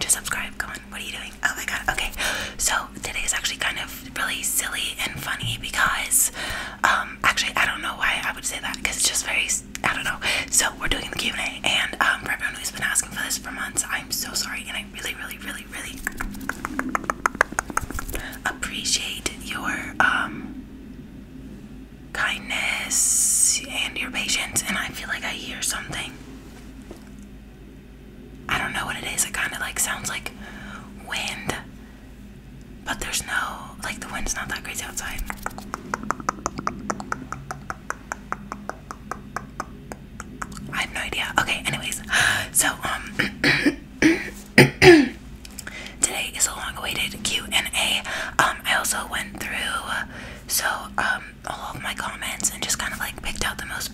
to subscribe. go on. What are you doing? Oh my god. Okay. So today is actually kind of really silly and funny because, um, actually I don't know why I would say that because it's just very I don't know. So we're doing the Q and A, and um, for everyone who's been asking for this for months, I'm so sorry, and I really, really, really, really appreciate your um kindness and your patience. And I feel like I hear something. I don't know what it is. It kind of like sounds like wind, but there's no like the wind's not that crazy outside. I have no idea. Okay, anyways, so um today is a long-awaited Q and A. Um, I also went through so um all of my comments and just kind of like picked out the most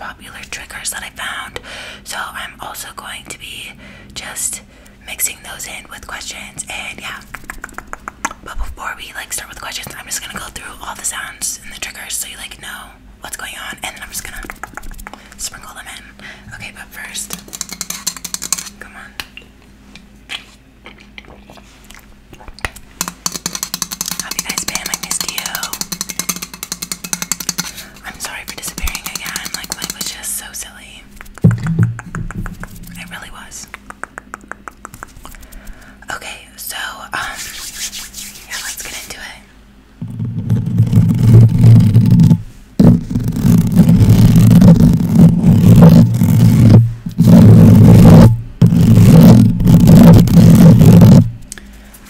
triggers that I found. So I'm also going to be just mixing those in with questions and yeah. But before we like start with questions, I'm just gonna go through all the sounds and the triggers so you like know what's going on and then I'm just gonna sprinkle them in. Okay, but first come on. have you guys been? I missed you. I'm sorry for disappearing again. Like life was just so silly. It really was. Okay, so um, yeah, let's get into it.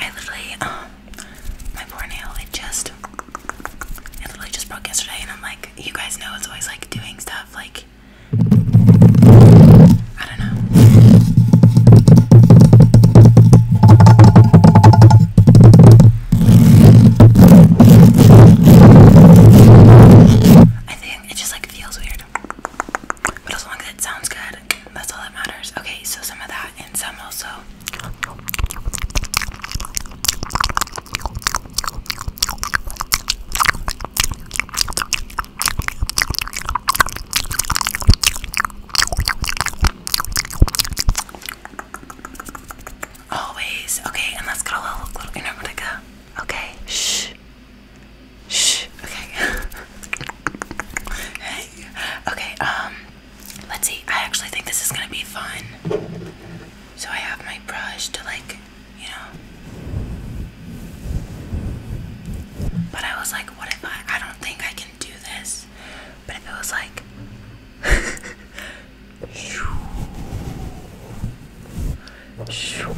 I literally um my poor it just, it literally just broke yesterday, and I'm like, you guys know it's always like doing stuff like, I don't know. I think it just like feels weird, but as long as it sounds good, that's all that matters. Okay, so some of that and some also. Always. Okay, and let's get a little, little energetica. Okay. Shh. Shh. Okay. Hey. Okay, um, let's see. I actually think this is gonna be fun. So I have my brush to like, you know. But I was like, what if I I don't think I can do this. But if it was like shoo, shoo,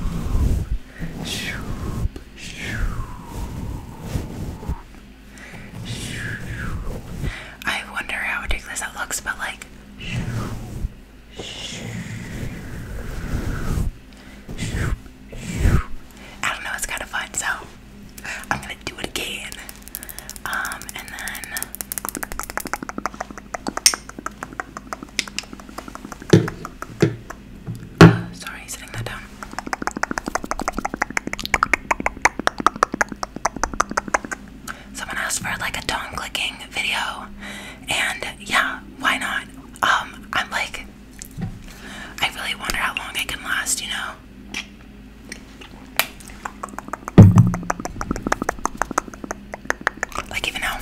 shoo, shoo, I wonder how ridiculous that looks, but like. I don't know, it's kind of fun, so I'm gonna do it again. Um, and then. Oh, sorry, setting that down. Someone asked for like a tongue clicking video, and yeah, why not? Um, I'm like, I really wonder how long it can last, you know. Like even now,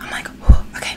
I'm like, okay,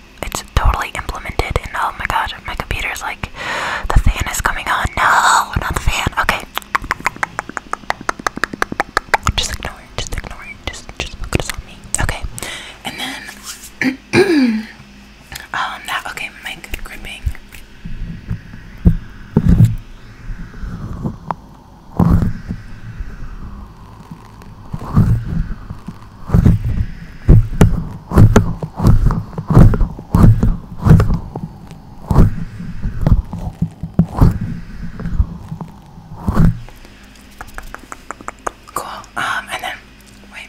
it's totally implemented and oh my god my computer's like the fan is coming on no not the fan okay just ignore just ignore just just focus on me okay and then um that okay mic gripping Cool. Um, and then wait.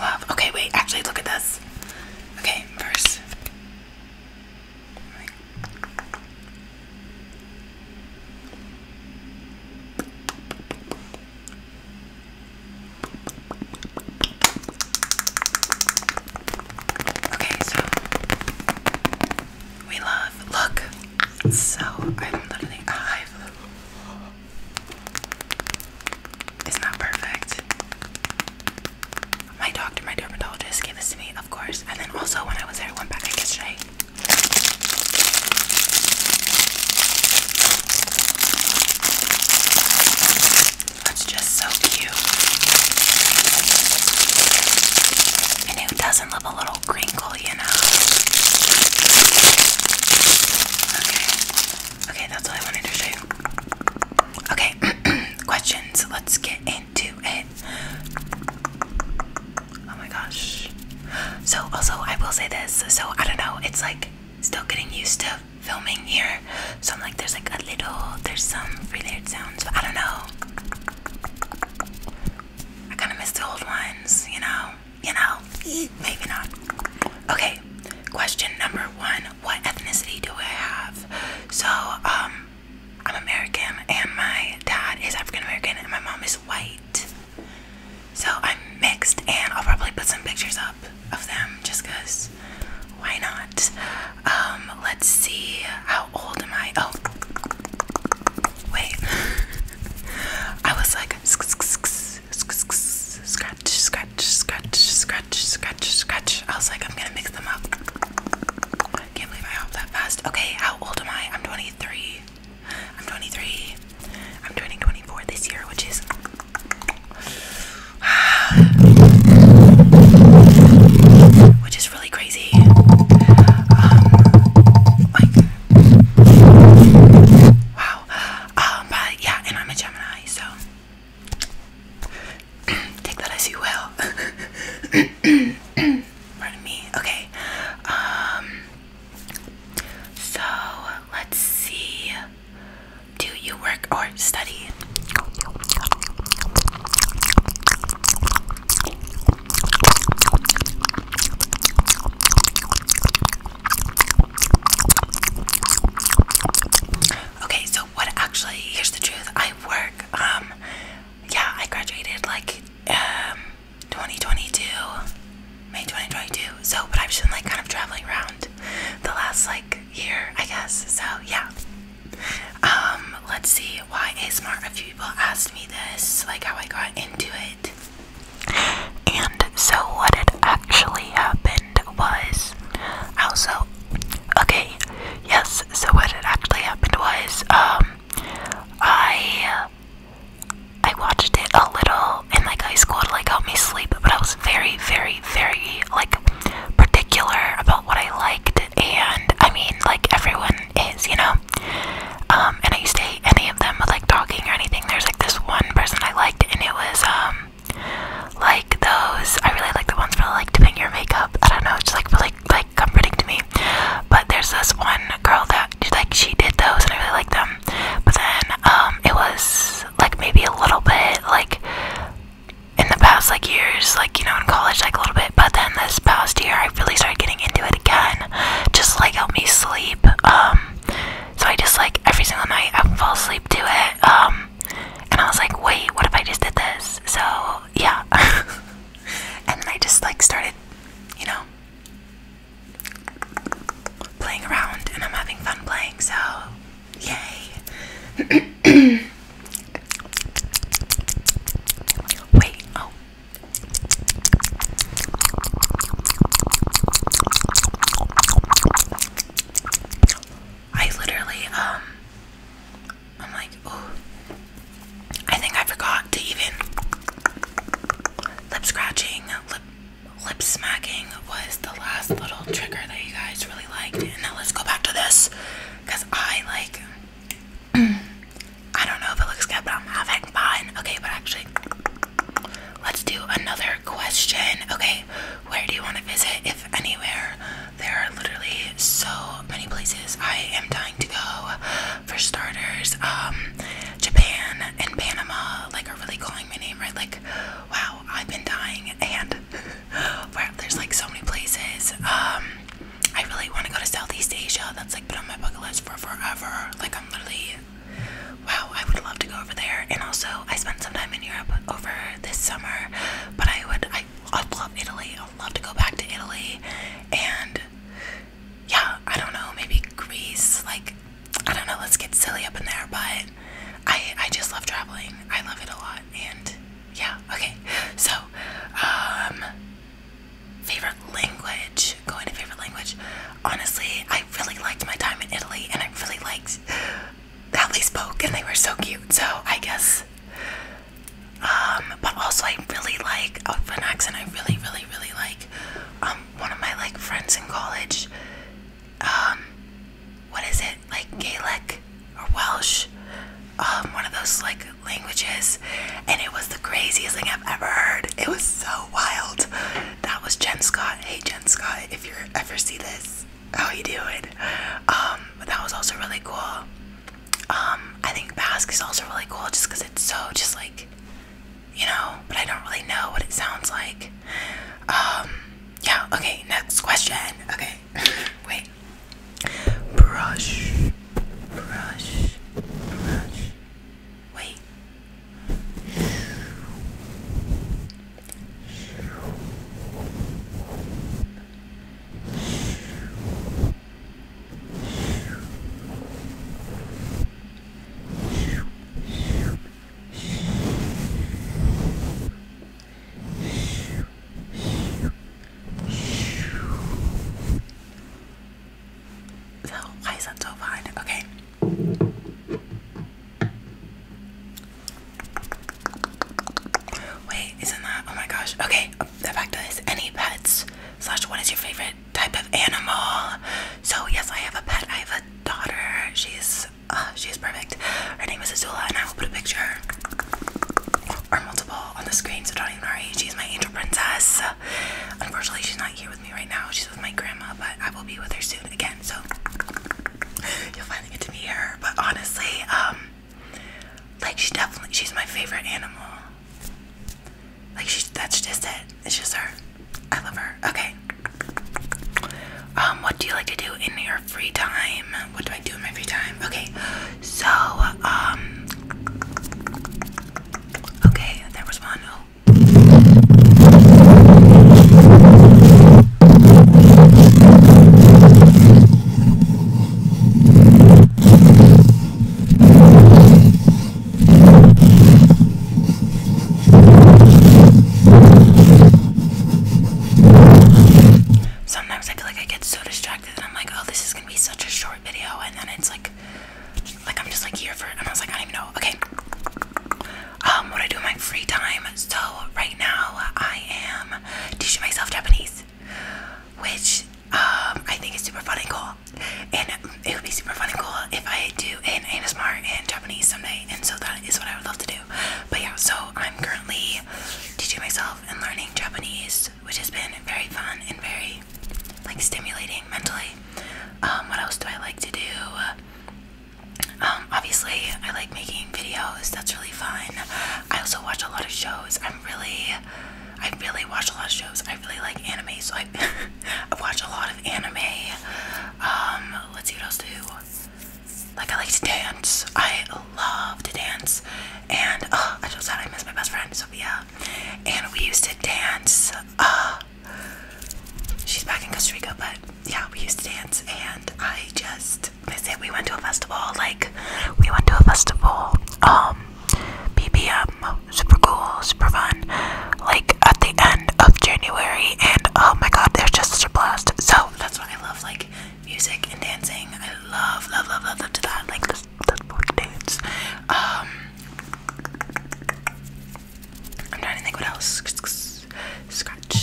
Love. Okay, wait. Actually, look at this. Okay, first. Wait. Okay, so we love look. So I'm literally alive. It's not perfect. My doctor, my dermatologist gave this to me, of course. And then also when I was there, I went back like yesterday. That's just so cute. And who doesn't love a little crinkle, you know? Okay. Okay, that's all I wanted to show you. Okay, questions. Let's get into it. Oh my gosh. So, also, I will say this. So, I don't know, it's like still getting used to filming here. So, I'm like, there's like a little, there's some related sounds, but I don't know. I kind of miss the old ones, you know? You know? Maybe not. Okay, question number one What ethnicity do I have? So, um, I'm American and my dad is African American and my mom is white. So I'm mixed and I'll probably put some pictures up of them just cause why not? Um, let's see how old am I? Oh wait. I was like scratch, scratch, scratch, scratch, scratch, scratch. I was like, I'm gonna mix them up. I can't believe I hopped that fast. Okay, how old am I? I'm 23. I'm 23. I'm turning 24 this year, which is. Which is really crazy. Um, like, wow. Um, but yeah, and I'm a Gemini, so take that as you will. Pardon me. Okay. Um, so let's see. Do you work or study? Okay, so what actually here's the truth. I work. Um yeah, I graduated like um 2022, May 2022. So, but I've been like kind of traveling around the last like year, I guess. So, yeah. Um, let's see why ASMR. A few people asked me this, like how I got into it. And so, what had actually happened was also oh, okay. Yes, so what had actually happened was, um, I I watched it a little and like high school to like help me sleep, but I was very, very, very like particular about what I liked, and I mean, like everyone is, you know. Um, and I used to hate any of them like talking or anything. There's like this one person I liked, and it was um like those. I really like the ones where like doing your makeup. I don't know, just like really like comforting to me. But there's this one girl that like she did those and I really like them. But then um it was like maybe a little bit like in the past like years, like you know, in college like a little bit, but then this past year I really started getting into it again. Just like help me sleep. Um so I just like every single night I fall asleep to it. Um and I was like, wait, what if I just did this? So yeah. and then I just like started, you know, playing around and I'm having fun playing, so yay. Wait, oh. I literally, um, I'm like, oh, I think I forgot to even lip scratching, lip lip smacking was the last little trigger that you guys really liked. And now let's go back to this because I like I don't know if it looks good, but I'm having fun. Okay, but actually let's do another question. Okay, where do you want to visit if anywhere? There are literally so many places I am dying to go for starters, um, Japan and Panama, like, are really calling my name, right? Like, wow, I've been dying, and wow, there's like so many places. Um, I really want to go to Southeast Asia. That's like been on my bucket list for forever. Like, I'm literally, wow, I would love to go over there. And also, I spent some time in Europe over this summer, but I would, I, I love Italy. I'd love to go back to Italy, and yeah, I don't know, maybe Greece, like I don't know, let's get silly up in there, but I I just love traveling. I love it a lot and yeah, okay. So um favorite language, going to favorite language. Honestly, I really liked my time in Italy and I really liked how they spoke and they were so cute. So I guess um, but also I really like uh, Outfanax and I really, really, really like um, one of my like friends in college. Um, what is it? Like Gaelic or Welsh? one of those like languages. And it was the craziest thing I've ever heard. It was so wild. That was Jen Scott. Hey Jen Scott, if you ever see this, how you doing? Um, but that was also really cool. Um, I think Basque is also really cool just because it's so just like, you know, but I don't really know what it sounds like. Um, yeah, okay, next question. Okay, wait. Brush, brush, brush. Wait. So why is that so fine? Okay. Wait, isn't that? Oh my gosh. Okay, the fact is, any pets slash what is your favorite type of animal. So yes, I have a pet. I have a daughter. She's uh, she's perfect. Her name is Azula, and I will put a picture or multiple on the screen. So don't even worry. She's my angel princess. Unfortunately, she's not here with me right now. She's with my grandma, but I will be with her soon again. So you'll finally get to meet her. But honestly, um, like she definitely she's my favorite animal. Like she, that's just it. It's just her. I love her. Okay. Um, what do you like to do in your free time? What do I do in my free time? Okay. So, um. Okay, there was one. Oh. Sometimes I feel like I get so distracted and I'm like, oh, this is gonna be such a short video, and then it's like, like I'm just like here for, it. and I was like, I don't even know. Okay, um, what I do in my free time. So right now I am teaching myself Japanese, which um, I think it's super fun and cool. And it would be super fun and cool if I do an anime ASMR in Japanese someday. And so that is what I would love to do. But yeah, so I'm currently teaching myself and learning Japanese, which has been very fun and very like stimulating mentally. Um, what else do I like to do? Um, obviously, I like making videos. That's really fun. I also watch a lot of shows. I'm really I really watch a lot of shows. I really like anime, so I have watched a lot of anime. Um, let's see what else to do. Like I like to dance. I love to dance, and oh, I just said I miss my best friend Sophia, and we used to dance. Uh, she's back in Costa Rica, but yeah, we used to dance, and I just miss it. We went to a festival. Like we went to a festival. Um BBM, super cool, super fun, like at the end of January, and oh my god, there's just such a blast. So that's why I love like music and dancing. I love, love, love, love, love to that. Like this, this book dance. Um, I'm trying to think what else. Scratch, scratch,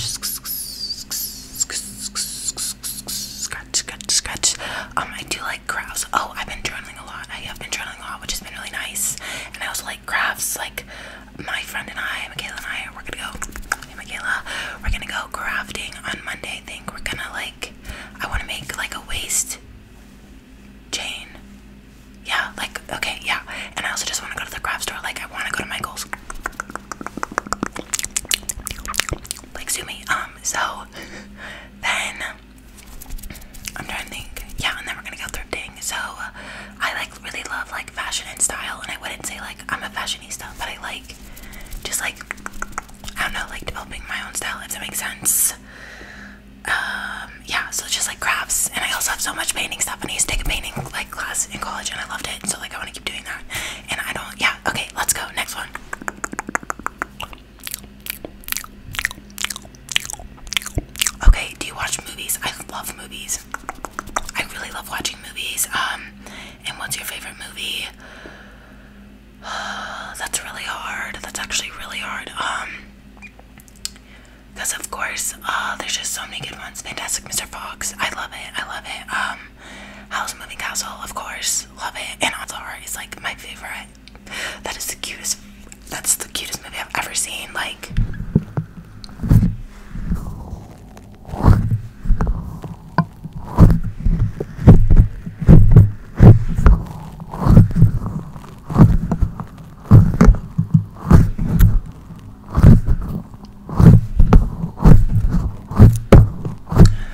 scratch, scratch. Um, I do like crafts. Oh, I've been journaling journaling a lot. I have been journaling a lot, which has been really nice. And I also like crafts. Like my friend and I, Michaela and I, we're gonna go. Hey, Michaela, we're gonna go crafting on Monday. I think we're gonna like. I want to make like a waist chain. Yeah, like okay, yeah. And I also just want to go to the craft store. Like I want to go to Michael's. Like sue me. Um. So then I'm trying to think. Yeah, and then we're gonna go thrifting. So uh, I like really love like fashion and style, and I wouldn't say like I'm a fashionista, but I like just like I don't know, like developing my own style if that makes sense. Um, yeah, so just like crafts, and I also have so much painting stuff, and I used to take a painting like class in college, and I loved it. So like I want to keep doing that, and I don't. Yeah, okay, let's go next one. Okay, do you watch movies? I love movies. I really love watching movies. Um, and what's your favorite movie? That's really hard. That's actually really hard. Um, because of course, uh, there's just so many good ones. Fantastic Mr. Fox. I love it. I love it. Um, House Moving Castle, of course. Love it. And Avatar is like my favorite. That is the cutest. That's the cutest movie I've ever seen. Like,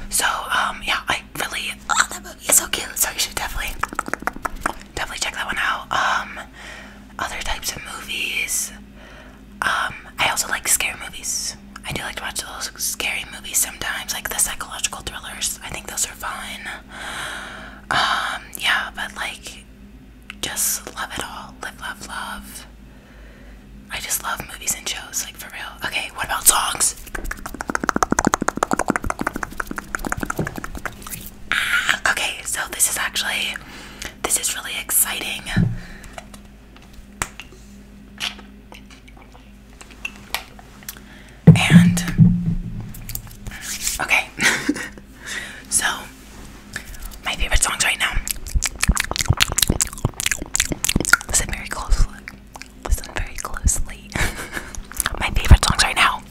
so um, yeah, I really. Oh, that movie is so cute. So you should definitely definitely check that one out. Um, other types of movies. Um, I also like scary movies. I do like to watch those scary movies sometimes, like the psychological thrillers. I think those are fun. Um, yeah, but like, just love it all. Live, love, love. I just love movies and shows, like for real. Okay, what about songs? Ah, okay, so this is actually this is really exciting. And okay. so my favorite songs right now. Listen very closely listen very closely. My favorite songs right now.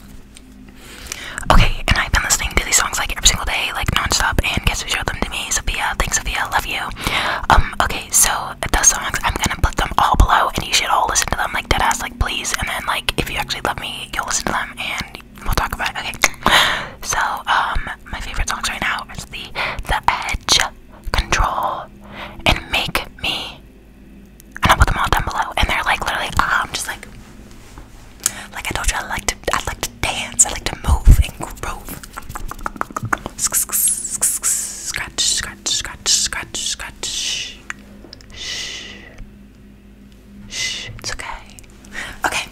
Okay, and I've been listening to these songs like every single day, like nonstop. And guess who showed them to me? Sophia. Thanks, Sophia. Love you. Um. Okay, so the songs I'm gonna put them all below, and you should all listen to them like dead ass, like please. And then like if you actually love me, you'll listen to them, and we'll talk about it. Okay. So um, my favorite songs right now is the The Edge, Control, and Make Me and I'll put them all down below. And they're like literally, ah, I'm just like, like I told you, I like to, I like to dance, I like to move and groove. Scratch, scratch, scratch, scratch, scratch. Shh. It's okay. Okay.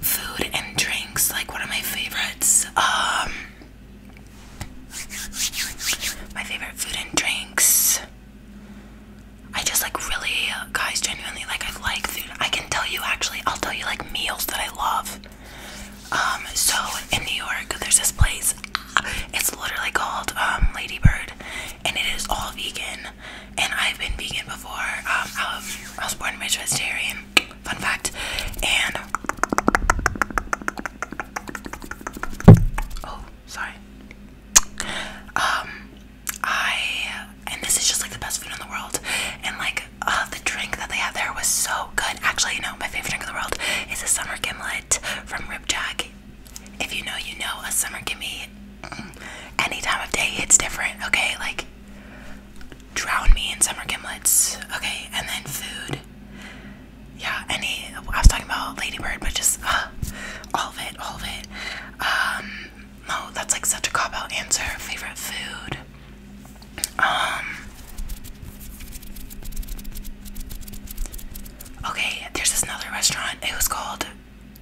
Food and drinks, like one of my favorites. Um, my favorite food and drinks. I just like really, uh, guys, genuinely like I like food. I can tell you actually, I'll tell you like meals that I love. Um, so in New York, there's this place. Uh, it's literally called um, Ladybird, and it is all vegan. And I've been vegan before. Um, I was, born and vegetarian. Fun fact. And oh, sorry. Um, I and this is just like the best food in the world. And like uh, the drink that they had there was so good. Actually, no, my favorite drink in the world is a summer gimlet from Rip Jack. If you know, you know a summer gimme. Mm, any time of day, it's different. Okay, like drown me in summer gimlets. Okay, and then food yeah, any. I was talking about Ladybird, but just uh, all of it, all of it. Um, no, that's like such a cop out answer. Favorite food. Um, okay, there's this another restaurant. It was called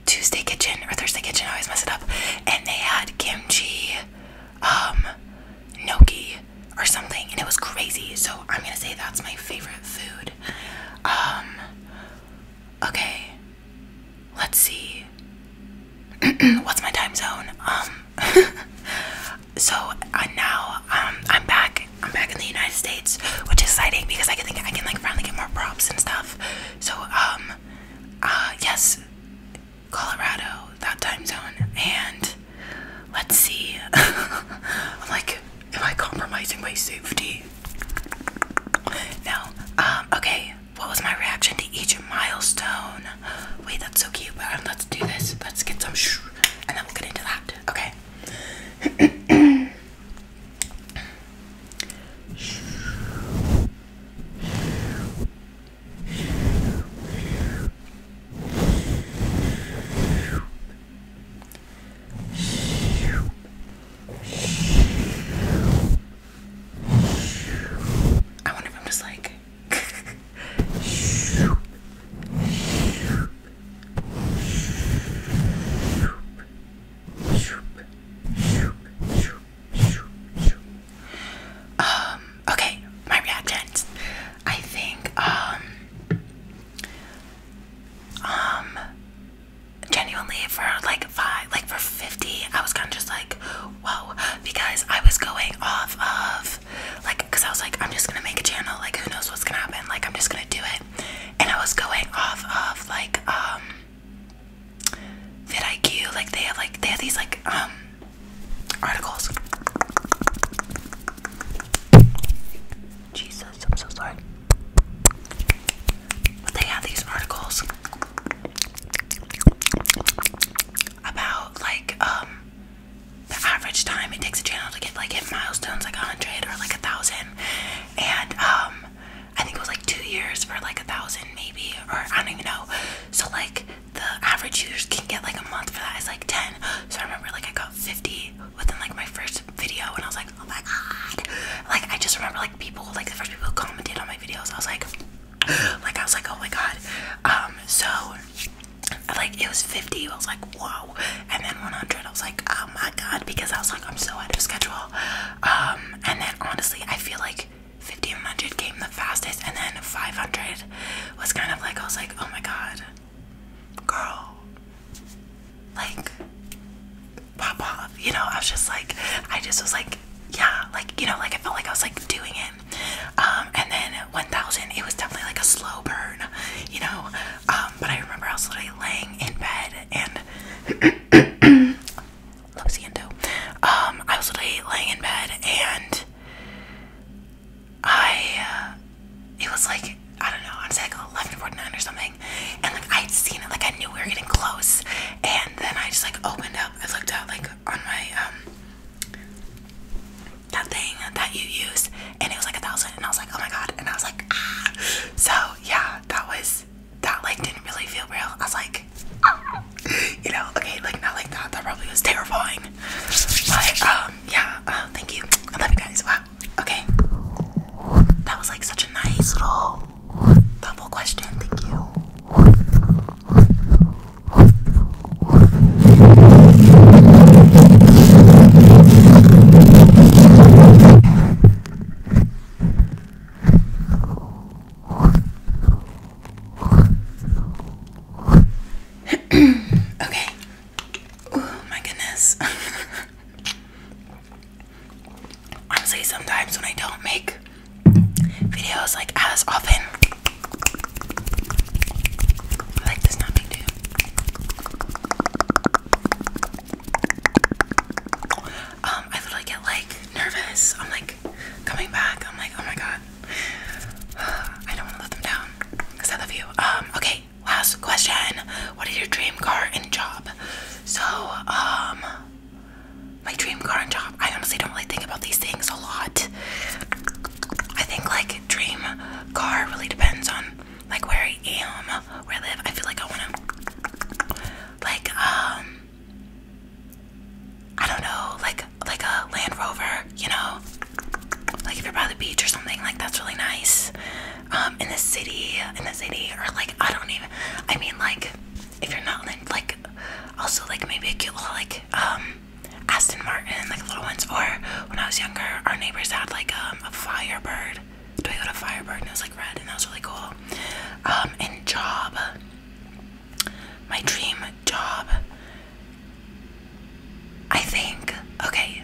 Tuesday Kitchen or Thursday Kitchen. I always mess it up. And they had kimchi, um, or something, and it was crazy. So I'm gonna say that's my favorite food. Um, okay, let's see. What's my time zone? Um, so uh, now um, I'm back. I'm back in the United States, which is exciting because I can think I can like finally get more props and stuff. So um, uh, yes, Colorado that time zone, and let's see. like Am I compromising my safety? No. Um, okay. What was my reaction to each milestone? Wait, that's so cute. But um, let's do this. Let's get some and then we'll get into that. Okay. I wonder if I'm just like. Um, okay, my reactions. I think, um, um genuinely for like five like for 50 i was kind of just like whoa because i was going off of like because i was like i'm just gonna make a channel like who knows what's gonna happen like i'm just gonna do it and i was going off of like um IQ, like they have like they have these like um articles jesus i'm so sorry but they have these articles about like um the average time it takes a channel to get like hit milestones like a hundred or like a thousand. And um I think it was like two years for like a thousand maybe or I don't even know. So like the average users can get like a month for that is like ten. So I remember like I got fifty within like my first video and I was like, oh my god. Like I just remember like people like the first people who commented on my videos, I was like like I was like, oh my god. Um so like it was 50, I was like, whoa, and then 100, I was like, oh my god, because I was like, I'm so out of schedule. Um, and then honestly, I feel like 1500 came the fastest, and then 500 was kind of like, I was like, oh my god, girl, like, pop off. You know, I was just like, I just was like, yeah, like, you know, like I felt like I was like doing it. Um, and then 1000, it was definitely like a slow burn, you know. Um, but I remember I was literally laying in bed and Lopsiendo. Um, I was literally laying in bed and I it was like I don't know, I am like 11:49 or something, and like I had seen it, like I knew we were getting close, and then I just like opened up, I looked out like on my um that thing that you used, and it was like a thousand, and I was like, oh my god, and I was like, ah. So yeah, that was that like didn't really feel real. I was like, you know, okay, like not like that. That probably was terrifying. But um, yeah, uh, thank you. I love you guys. Bye okay. That was like such a nice little double question. Thank you. okay, Oh my goodness. Honestly, sometimes when I don't make videos like as often, like this nothing too. Um, I literally get like nervous. I'm like coming back. I'm like, oh my god, I don't want to let them down because I love you. Um, okay last question. What is your dream car and job? So, um, my dream car and job. I honestly don't really think about these things a lot. I think like dream car really depends on like where I am, where I live. I feel like I wanna like um I don't know, like like a Land Rover, you know? Like if you're by the beach or something, like that's really nice. Um, in the city, in the city, or like I don't even. I mean, like if you're not like, also like maybe a cute like um, Aston Martin, like little ones. Or when I was younger, our neighbors had like um, a Firebird, Toyota Firebird, and it was like red, and that was really cool. Um, and job, my dream job. I think okay,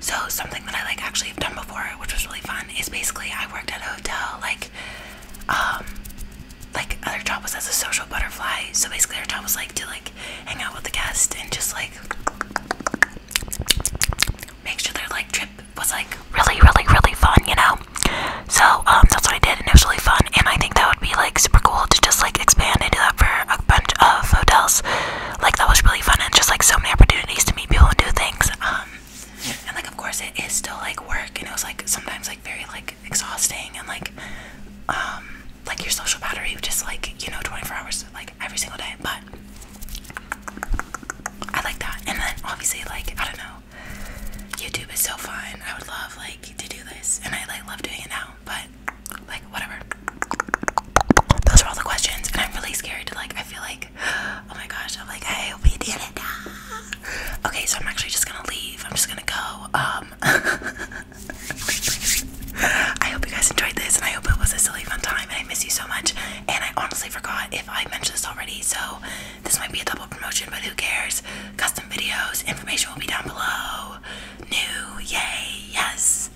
so something that I like actually have done before, which was really fun, is basically I worked at a hotel. Like, um, like other job was as a social butterfly. So basically, our job was like to like hang out with the guests and just like make sure their like trip was like really, really, really fun. You know. So um, that's what I did, and it was really fun. And I think that would be like super cool to just like expand into that for a bunch of hotels like that was really fun and just like so many opportunities to meet people and do things. Um, and like of course it is still like work and it was like sometimes like very like exhausting and like um like your social battery just like you know 24 hours like every single day but I like that and then obviously like I don't know YouTube is so fun I would love like to do this and I like love doing it now but like whatever those were all the questions, and I'm really scared to like. I feel like, oh my gosh, I'm like, hey, we did it. Okay, so I'm actually just gonna leave. I'm just gonna go. Um, I hope you guys enjoyed this, and I hope it was a silly fun time. And I miss you so much. And I honestly forgot if I mentioned this already, so this might be a double promotion, but who cares? Custom videos, information will be down below. New, yay, yes.